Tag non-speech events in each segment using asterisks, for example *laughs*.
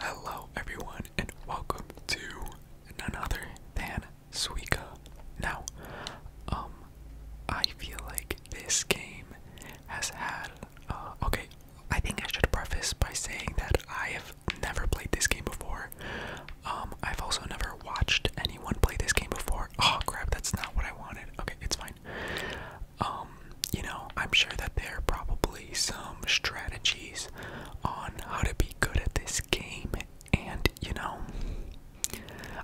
Hello, everyone, and welcome to none other than Suika. Now, um, I feel like this game has had. Uh, okay, I think I should preface by saying that I have never played this game before. Um, I've also never watched anyone play this game before. Oh crap, that's not what I wanted. Okay, it's fine. Um, um, you know, I'm sure that there are probably some strategies on how to be good at this game, and you know,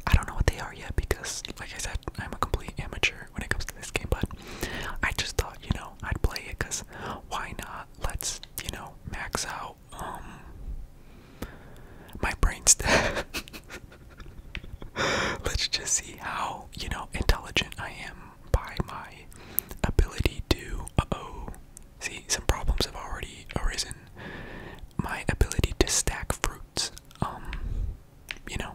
I don't know what they are yet because, like I said, I'm a complete amateur when it comes to this game, but I just thought, you know, I'd play it because why not? Let's, you know, max out um my brain stat. *laughs* Let's just see how, you know, intelligent I am by my ability to uh oh see some problems have already arisen my ability to stack fruits um you know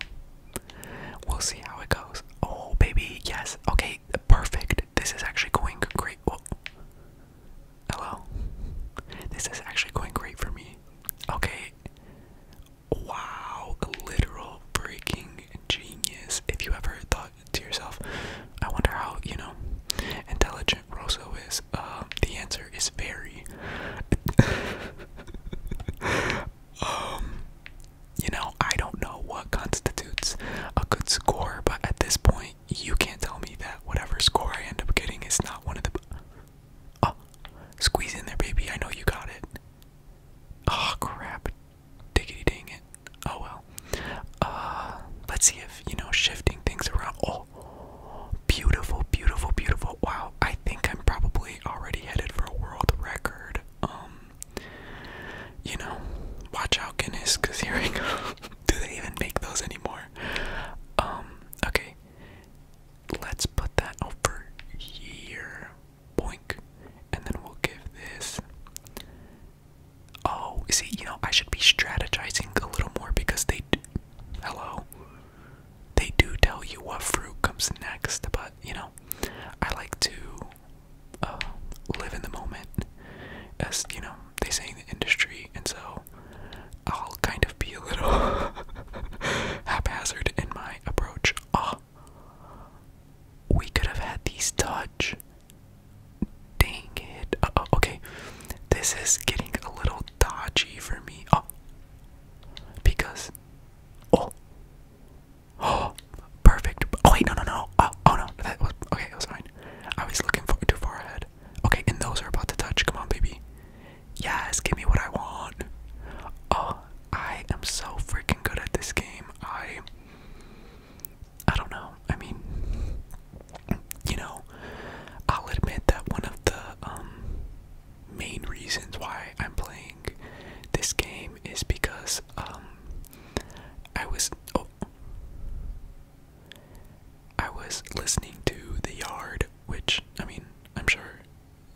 we'll see how it goes oh baby yes okay perfect this is actually going great hello this is actually going great for me okay Wow, literal freaking genius. If you ever thought to yourself, I wonder how, you know, intelligent Rosso is. Uh, the answer is very. *laughs* um, you know, I don't know what constitutes a good score, but at this point, you can't tell me that whatever score I end up getting is not one of the. Oh, squeeze in there, baby. I know you got it. Oh, crap. Diggity dang it. Oh well. Uh, let's see if, you know, shifting things around. Oh, beautiful, beautiful, beautiful. Wow, I think I'm probably already headed for a world record. Um, you know, watch out, Guinness, because here we go. *laughs* Do they even make those anymore? Um, okay. Let's put that over here boink, and then we'll give this. Oh, see, you know, I should be strategizing a little more because they, do, hello, they do tell you what fruit comes next, but you know, I like to uh, live in the moment, as you know, they say in the industry, and so I'll kind of be a little *laughs* haphazard in my approach. Oh, we could have had these touch. Dang it. Uh -oh, okay. This is getting a little dodgy for me. Oh. Because. Oh. Oh. Perfect. Oh, wait, no, no, no. Oh, oh no. That was. Okay, it was fine. I was looking for, too far ahead. Okay, and those are about to touch. Come on, baby. Yes, give me what I want. Oh, I am so freaking good at this game. I I don't know. I mean, you know, I'll admit that one of the um, main reasons why I'm playing this game is because um, I was oh, I was listening to The Yard, which I mean, I'm sure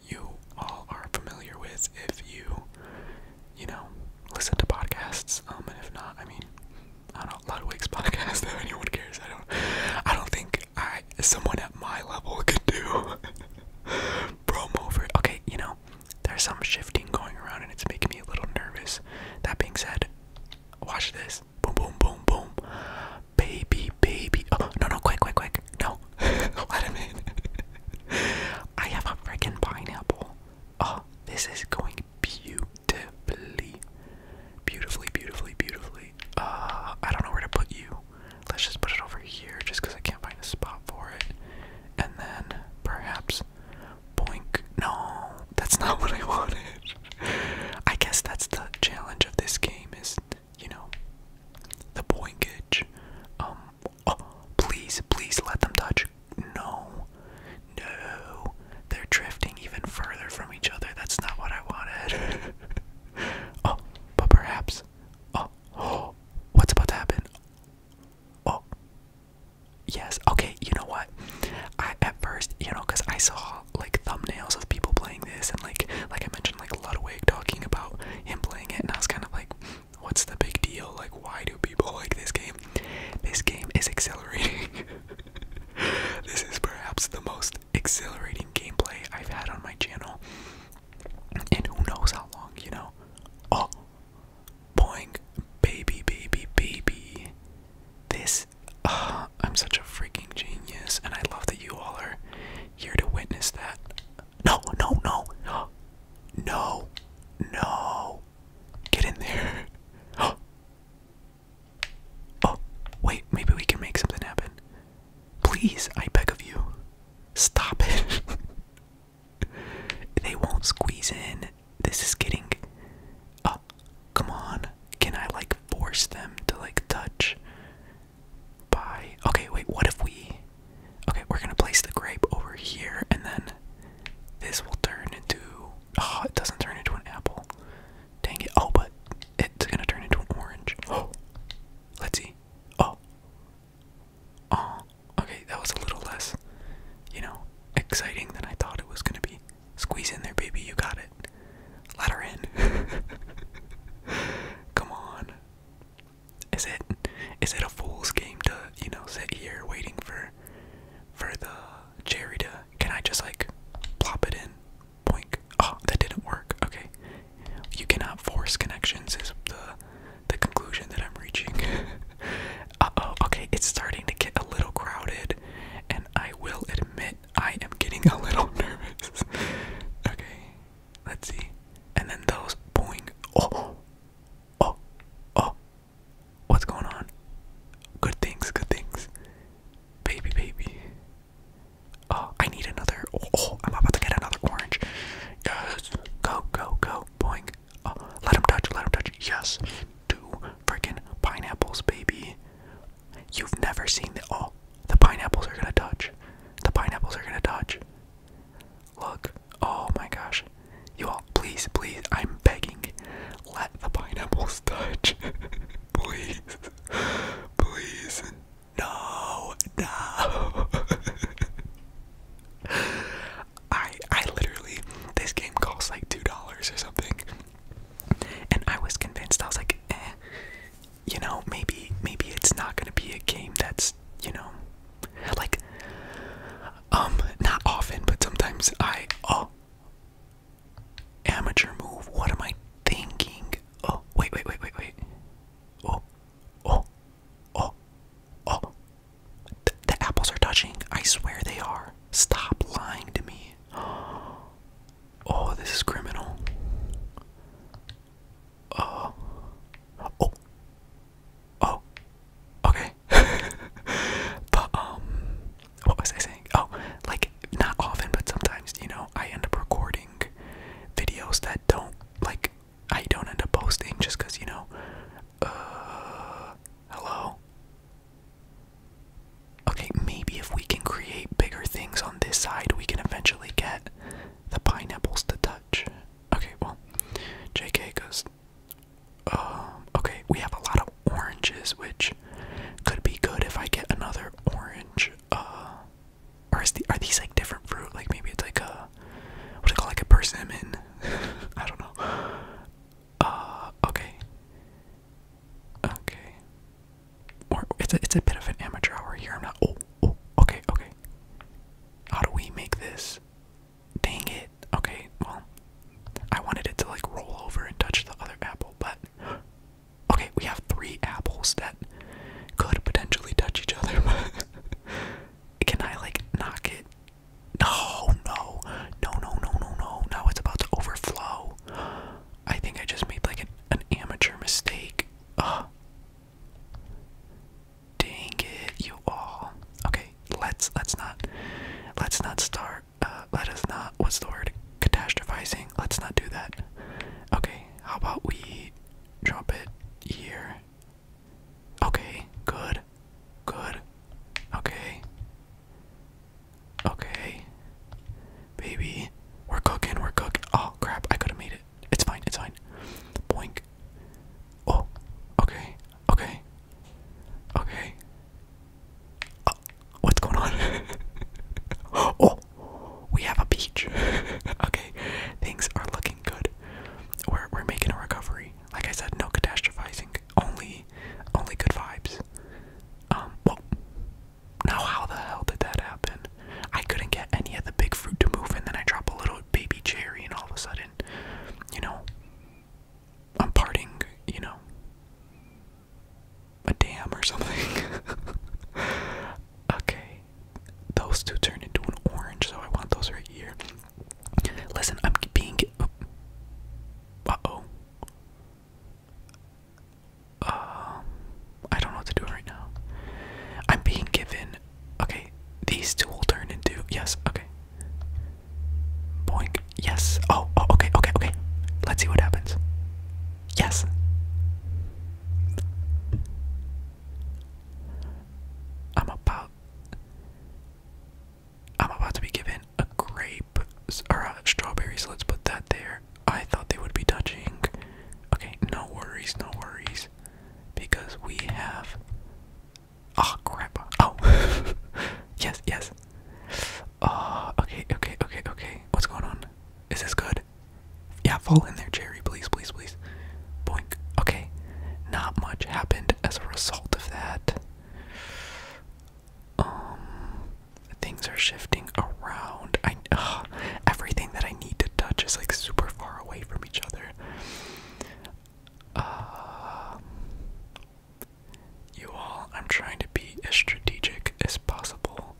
you all are familiar with if you you know, listen to podcasts. Um, and if not, I mean, I don't know, Ludwig's *laughs* podcasts. Though anyone cares, I don't. I don't think I someone at my level *laughs* could do *laughs* promo over. Okay, you know, there's some shifting going around, and it's making me a little nervous. That being said, watch this. Boom, boom, boom, boom. Baby, baby. Oh no, no, quick, quick, quick. No, let him in. I have a freaking pineapple. Oh, this is going beautifully. Beautifully, beautifully, beautifully. Uh, I don't know where to put you. Let's just put it over here just because I can't find a spot for it. And then perhaps boink. No, that's not *laughs* what I wanted. I guess that's the challenge of this game is, you know, the boinkage. Um, Oh, please, please let them touch. No. No. They're drifting even further from each other. That's not what I wanted. *laughs* oh, but perhaps. Oh, *gasps* what's about to happen? Oh. Yes. Okay, you know what? I at first, you know, cuz I saw like thumbnails of people playing this and like like I mentioned like Ludwig talking about him playing it and I was kind of like what's the big deal? Like, why do people *laughs* like this game? This game is accelerating. *laughs* this is perhaps the most exhilarating gameplay I've had on my channel. And who knows how long, you know? Oh, boing, baby, baby, baby. This, uh, I'm such a freaking genius, and I love that you all are here to witness that. No, no, no. No. No. Get in there. *gasps* oh, wait, maybe we can make something happen. Please, I beg of you. Stop it. *laughs* they won't squeeze in. This is getting. Oh, come on. Can I, like, force them to, like, touch? Bye. Okay, wait, what if we. Okay, we're gonna place the grape over here, and then this will turn into. Oh, it doesn't turn into an apple. Dang it. Oh, but it's gonna turn into an orange. Oh, *gasps* let's see. Oh. Oh, okay, that was a little less, you know, exciting than I thought it was gonna be. Squeeze in there, baby, you got it. Let her in. *laughs* Come on is it is it a fool's game to you know sit here waiting for for the cherry to can I just like plop it in Point. oh that didn't work okay you cannot force connections is the the conclusion that I'm reaching *laughs* uh oh okay it's starting to get a little crowded and I will admit I am getting a little *laughs* nervous okay let's see and then those boing oh Oh, oh, what's going on? Good things, good things. Baby, baby. Oh, I need another. Oh, oh I'm about to get another orange. Yes. Go, go, go. boy. Oh, let him touch, let him touch. Yes. Two freaking pineapples, baby. You've never seen the. Oh, the pineapples are gonna touch. The pineapples are gonna touch. Look. Oh my gosh. You all, please, please, I'm begging. Let the pineapples touch. *laughs* please. Please. No. No. *laughs* I I literally this game costs like two dollars or something. And I was convinced, I was like, eh, you know, maybe maybe it's not gonna be a game that's, you know, like, um, not often, but sometimes I, oh, amateur move. What am I thinking? Oh, wait, wait, wait, wait, wait. Oh, oh, oh, oh. Th the apples are touching. I swear they are. Stop lying to me. *gasps* Oh, this is criminal. Uh, oh. Oh. Oh, okay. *laughs* but um, what was I saying? Oh, like not often, but sometimes you know I end up recording videos that don't like I don't end up posting just because you know. Uh, hello. Okay, maybe if we can create bigger things on this side, we can eventually get the pineapples to touch. Okay, well, JK, because um, okay, we have a lot of oranges, which could be good if I get another orange. Uh, or is the, are these like different fruit? Like maybe it's like a what do it call Like a persimmon? *laughs* I don't know. Uh, okay. Okay. it's a, it's a bit of an amateur hour here. I'm not. oh. oh okay, okay. How do we make this? Dang it. Okay, well, I wanted it to like roll over and touch the other apple, but *gasps* okay, we have three apples that could potentially touch each other. *laughs* Can I like knock it? No, no, no, no, no, no, no. Now it's about to overflow. I think I just made like an, amateur mistake. Ugh. Dang it, you all. Okay, let's let's not let's not start. Uh, let us not. What's the word? Catastrophizing. Let's not do that. Okay, how about we drop it here? Okay, good, good. Okay, okay, baby, we're cooking. We're cooking. Oh crap! I could have made it. It's fine. It's fine. Boink like, oh, okay, okay, okay. Oh, what's going on? *laughs* oh, we have a beach. *laughs* okay, things are looking good. We're we're making a recovery. Like I said, no catastrophizing. Only only good vibes. Um, well, now how the hell did that happen? I couldn't get any of the big fruit to move, and then I drop a little baby Jerry, and all of a sudden, you know, I'm parting, you know, a dam or something. *laughs* okay, those two turn into an orange, so I want those right here. Listen, I'm being. Uh oh. Um, I don't know what to do right now. I'm being given Okay, these two will turn into yes. Okay. Boink. Yes. Oh, oh. Okay. Okay. Okay. Let's see what happens. Yes. I'm about. I'm about to be given a grape or a let's put that there. I thought they would be touching. Okay, no worries, no worries. Because we have Oh crap. Oh. *laughs* yes, yes. Oh, okay, okay, okay, okay. What's going on? Is this good? Yeah, fall in there, Jerry. Please, please, please. Boink. Okay. Not much happened as a result of that. Um, things are shifting around. I uh, everything that I need to touch is like super far away from each other. Um, you all, I'm trying to be as strategic as possible.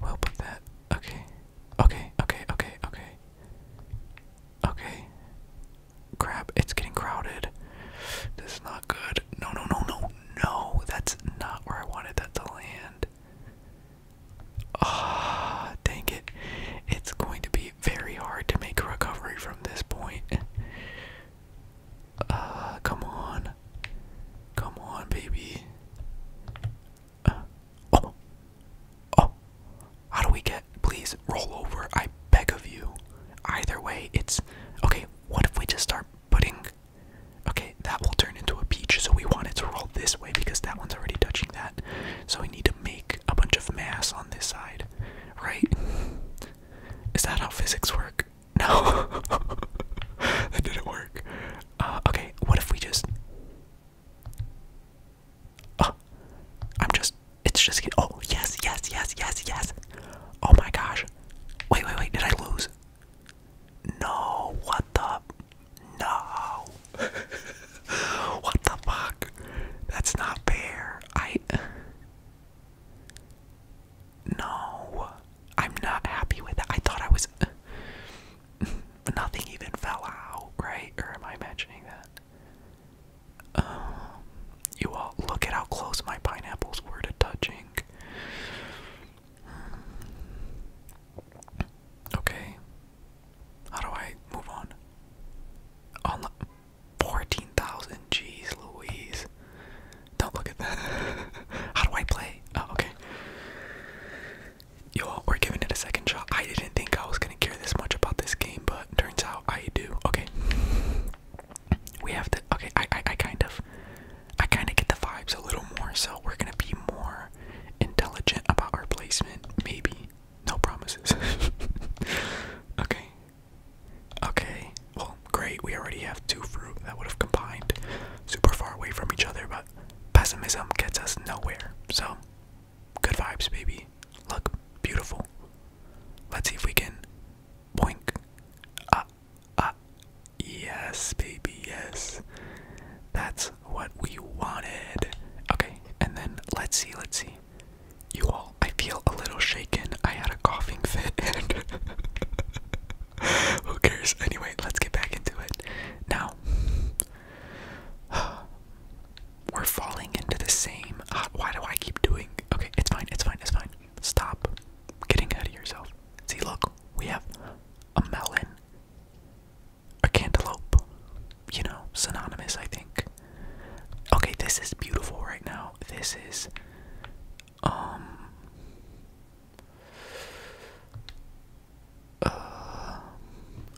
We'll put that. Okay. Okay, okay, okay, okay. Okay. Crap, it's getting crowded. This is not good. No, no, no, no, no. That's not where I wanted that to land. Ah, dang it. It's going to be be very hard to make a recovery from this point. Uh, come on. Come on, baby. Uh, oh. Oh. How do we get. Please roll over. I beg of you. Either way, it's. Okay, what if we just start putting. Okay, that will turn into a peach, so we want it to roll this way because that one's already touching that. So we need to make a bunch of mass on this side, right? Is that how physics work? *laughs* No, that didn't work. Uh, okay, what if we just? Oh, I'm just. It's just. Oh yes, yes, yes, yes, yes. Oh my gosh. Wait, wait, wait. Did I lose? No. What the? No. *laughs* what the fuck? That's not fair. I. No. I'm not happy with that. I thought I was. *laughs* Nothing even fell out, right? Or am I imagining that? Um, you all look at how close my pineapples were to touching. Hmm. Okay, how do I move on? On 14,000. Jeez Louise. Don't look at that. *laughs* How do I play? Oh, okay. Yo, we're giving it a second shot. I didn't think I was going to care this much about this game, but turns out I do. Okay. We have to. Okay, I, I, I kind of. I kind of get the vibes a little more, so we're going to be more intelligent about our placement, maybe. No promises. *laughs* okay. Okay. Well, great. We already have two fruit that would have combined super far away from each other, but pessimism gets us nowhere. So, good vibes, baby. Look, beautiful. Let's see if we can. Boink. Ah, ah. Yes, baby, yes. That's what we wanted. Okay, and then let's see, let's see. You all, I feel a little shaken. I had a coughing fit *laughs* who cares? Anyway, let's get back into it. Now, *sighs* we're falling into the same. Uh, why do I keep doing? Okay, it's fine, it's fine, it's fine. Stop getting ahead of yourself. See, look, we have a melon, a cantaloupe, you know, synonymous, I think okay this is beautiful right now this is um uh,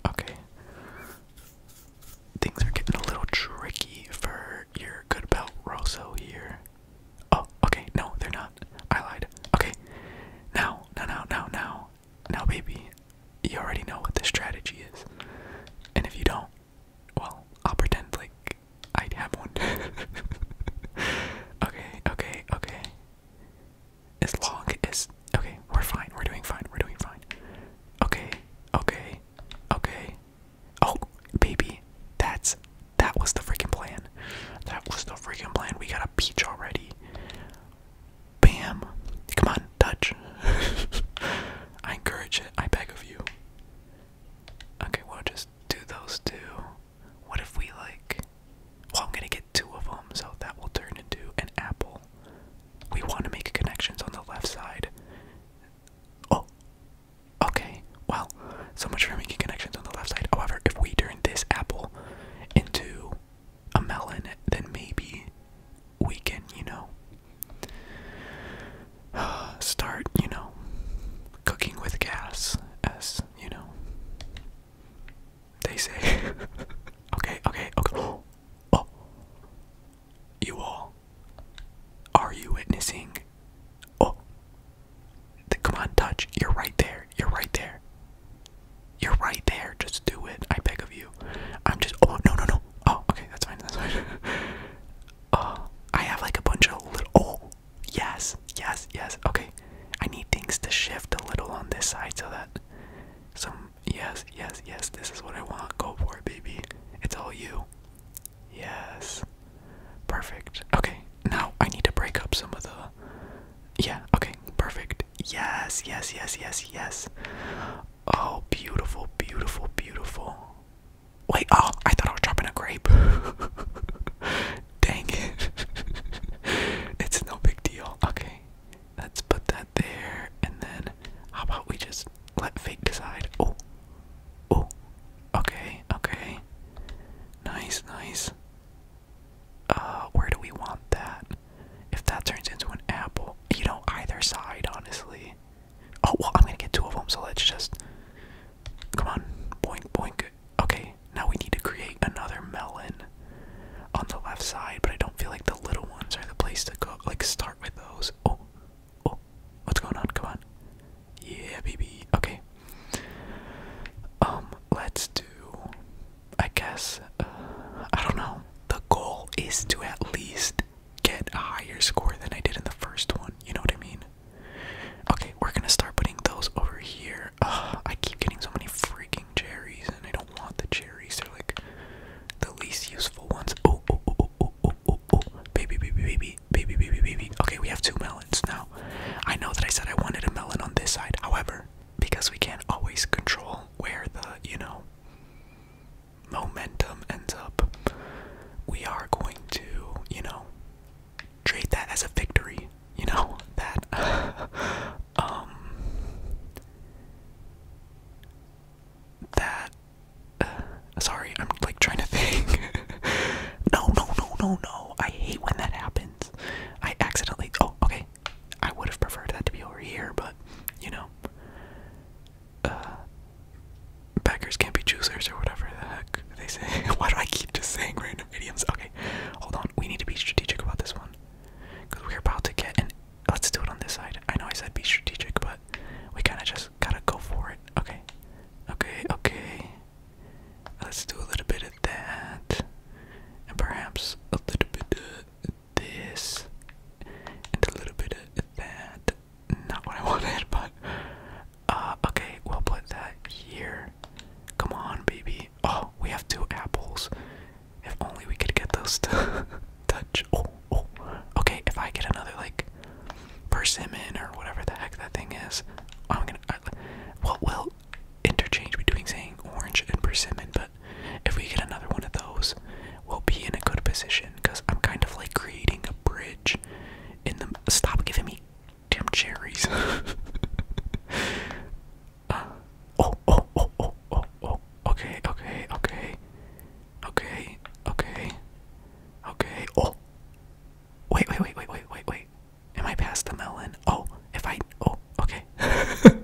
okay things are getting a little tricky for your good belt here oh okay no they're not i lied okay now now now now now now, baby, you already know what the strategy is. And if you don't, well, I'll pretend like I have one. *laughs* okay, okay, okay. As long as. Okay, we're fine. We're doing fine. We're doing fine. Okay, okay, okay. Oh, baby, that's. That was the freaking plan. That was the freaking plan. We got a peach already. Bam. Come on, touch. *laughs* I encourage it. I beg of you. Okay, well, just do those two. What if we like. Well, I'm gonna get two of them, so that will turn into an apple. We want to make connections on the left side. Oh, okay. Well, so much for making connections on the left side. However, if we turn this apple into a melon, then maybe we can, you know, *sighs* start, you know, cooking with gas, as, you know, they say. *laughs* okay, okay, okay. *gasps* Oh. You all. Are you witnessing? Oh. come on, touch. You're right there. You're right there. You're right there. Just do it. I beg of you. I'm just. Oh, no, no, no. Oh, okay, that's fine. That's fine. *laughs* Oh, I have like a bunch of little. Oh, yes, yes, yes. Okay, I need things to shift a little on this side so that some. Yes, yes, yes. This is what I want. Go for it, baby. It's all you. Yes. Perfect. Okay, now I need to break up some of the. Yeah, okay, perfect. Yes, yes, yes, yes, yes. Oh, beautiful, beautiful, beautiful. Wait, oh, I thought I was dropping a grape. *laughs* Dang it. *laughs* it's no big deal. Okay, let's put that there. And then, how about we just let fate decide? Oh, oh, okay, okay. Nice, nice. Uh, where do we want that? If that turns into an apple, you know, either side, honestly. Oh, well, I'm gonna get two of them, so let's just. Come on, boink, boink. Okay, now we need to create another melon on the left side, but I don't feel like the little ones are the place to go. Like, start with those. Oh, oh, what's going on? Come on. Yeah, baby. Okay. Um, let's do. I guess. Uh, I don't know. The goal is to at least get a higher score than I did in the first one. You know what I mean? Okay, we're gonna start putting those over here. Ugh, I keep getting so many freaking cherries, and I don't want the cherries. They're like the least useful ones. Oh, oh, oh, oh, oh, oh, oh, oh. Baby, baby, baby, baby, baby, baby. Okay, we have two melons now. I know that I said I wanted a melon on this side. However, because we can't always control where the, you know, momentum ends up, we are going to, you know, trade that as a victory. You know, *laughs* that, *laughs* um, that, uh, sorry, I'm like trying to think. *laughs* no, no, no, no, no. I hate when that happens. I accidentally, oh, okay. I would have preferred that to be over here, but, you know, uh, can't be choosers or whatever the heck they say. *laughs* Why do I keep just saying random idioms? Okay, hold on. We need to be strategic about this one because we're about to get an. Let's do it on this side. I know I said be strategic, but we kind of just gotta go for it. Okay, okay, okay. Let's do a little bit of that, and perhaps a little bit this and a little bit of that. Not what I *laughs* wanted, but uh, okay, we'll put that here. Come on, baby. Oh, we have two apples. If only we could get those *laughs* to touch. Oh, oh. Okay, if I get another like persimmon or whatever the heck that thing is, I'm gonna. I, well, well, interchange between saying orange and persimmon, but but if we get another one of those, we'll be in a good position because I'm kind of like creating a bridge in the. Stop giving me damn cherries. *laughs* uh, oh, oh, oh, oh, oh, oh. Okay, okay, okay. Okay, okay. Okay. Oh. Wait, wait, wait, wait, wait, wait, wait. Am I past the melon? Oh, if I. Oh, okay. *laughs*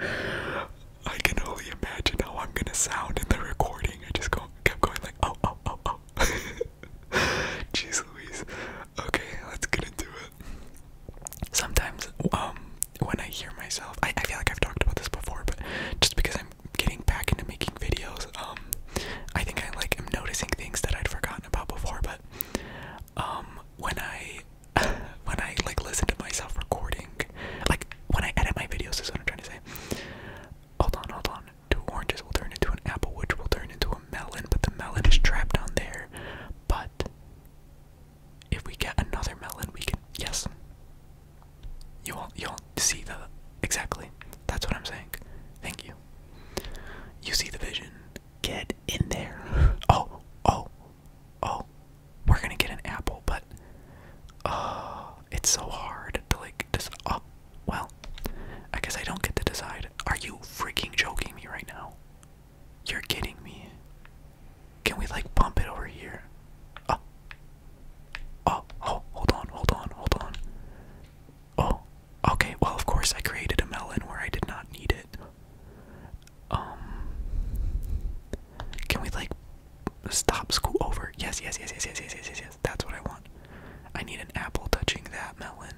I can only imagine how I'm gonna sound in the recording. I just go, kept going like, oh, oh, oh, oh. *laughs* Jeez Louise. Okay, let's get into it. Sometimes, um, when I hear myself, I, I feel like I've talked about this before, but just because I'm getting back into making videos, um, I think I like am noticing things that I'd forgotten about before, but um, when I *sighs* when I like listen to myself recording, like when I edit my videos, is what I'm trying to say. Hold on, hold on. Two oranges will turn into an apple, which will turn into a melon, but the melon is trapped down there. But if we get another melon, we can yes. You all you all see the exactly. That's what I'm saying. Thank you. You see the vision get in there. *laughs* Oh, oh, oh. We're gonna get an apple, but oh, it's so hard to like just oh well. I guess I don't get to decide. Are you freaking joking me right now? You're kidding me. Can we like bump it over here? Oh. Oh, oh, hold on, hold on, hold on. Oh, okay, well, of course, I created a melon where I did not need it. Um, can we like stop school over? Yes, yes, yes, yes, yes, yes, yes, yes, That's what I want. I need an apple touching that melon.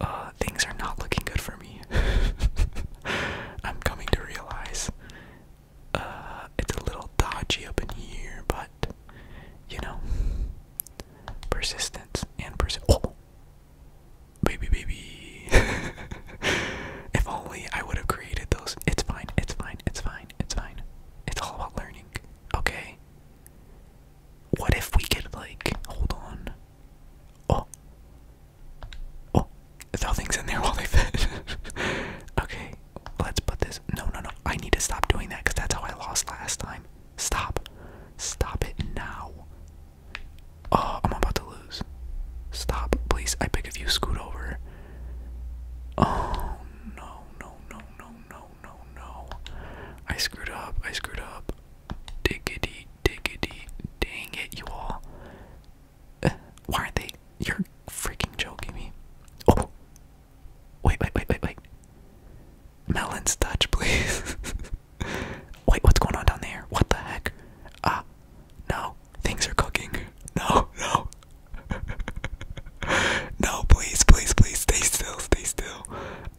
Uh, things are not looking good for me. *laughs* I'm coming to realize uh, it's a little dodgy up in here, but you know, persistence and pers. Oh! Baby, baby. *laughs* if only I would have created those. It's fine, it's fine, it's fine, it's fine. It's all about learning, okay? What if we could, like, hold on. Oh. Oh. Throw things in there while they fit. *laughs* okay, let's put this. No, no, no. I need to stop doing that because that's how I lost last time. Stop. Stop it now. Oh, I'm about to lose. Stop, please. I beg of you, scoot over. Oh, no, no, no, no, no, no, no. I screwed up. I screwed up. Diggity, diggity. Dang it, you all. Uh, why aren't they? You're freaking joking me. Oh. Wait, wait, wait, wait, wait. Melon's touch, please. *laughs* Wait, what's going on down there? What the heck? Ah, uh, no, things are cooking. *laughs* No, no. *laughs* no, please, please, please, stay still, stay still.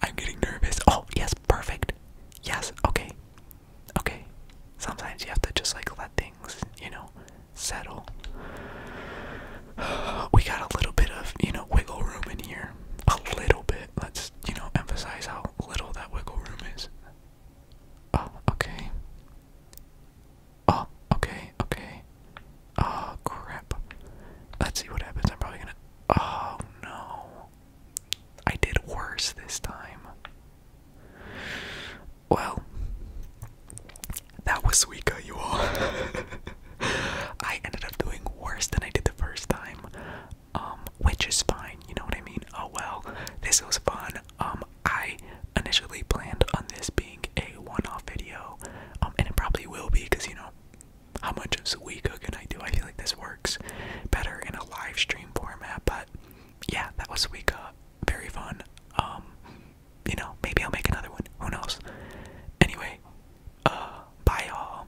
I'm getting nervous. Oh, yes, perfect. Yes, okay. Okay. Sometimes you have to just like let things, you know, settle. *sighs* We got a little bit of, you know, wiggle room in here. A little bit it. Let's, you know, emphasize how little that wiggle room is. Oh, okay. Oh, okay, okay. Oh, crap. Let's see what happens. I'm probably gonna. Oh, no. I did worse this time. Well, that was Suika, you all. *laughs* I ended up doing worse than I did the first time um, which is fine. You know what I mean? Oh well, this was fun. Um, I initially planned on this being a one-off video, um, and it probably will be because you know how much of sweet cooking I do. I feel like this works better in a live stream format. But yeah, that was sweet cook. Uh, very fun. Um, you know, maybe I'll make another one. Who knows? Anyway, uh, bye all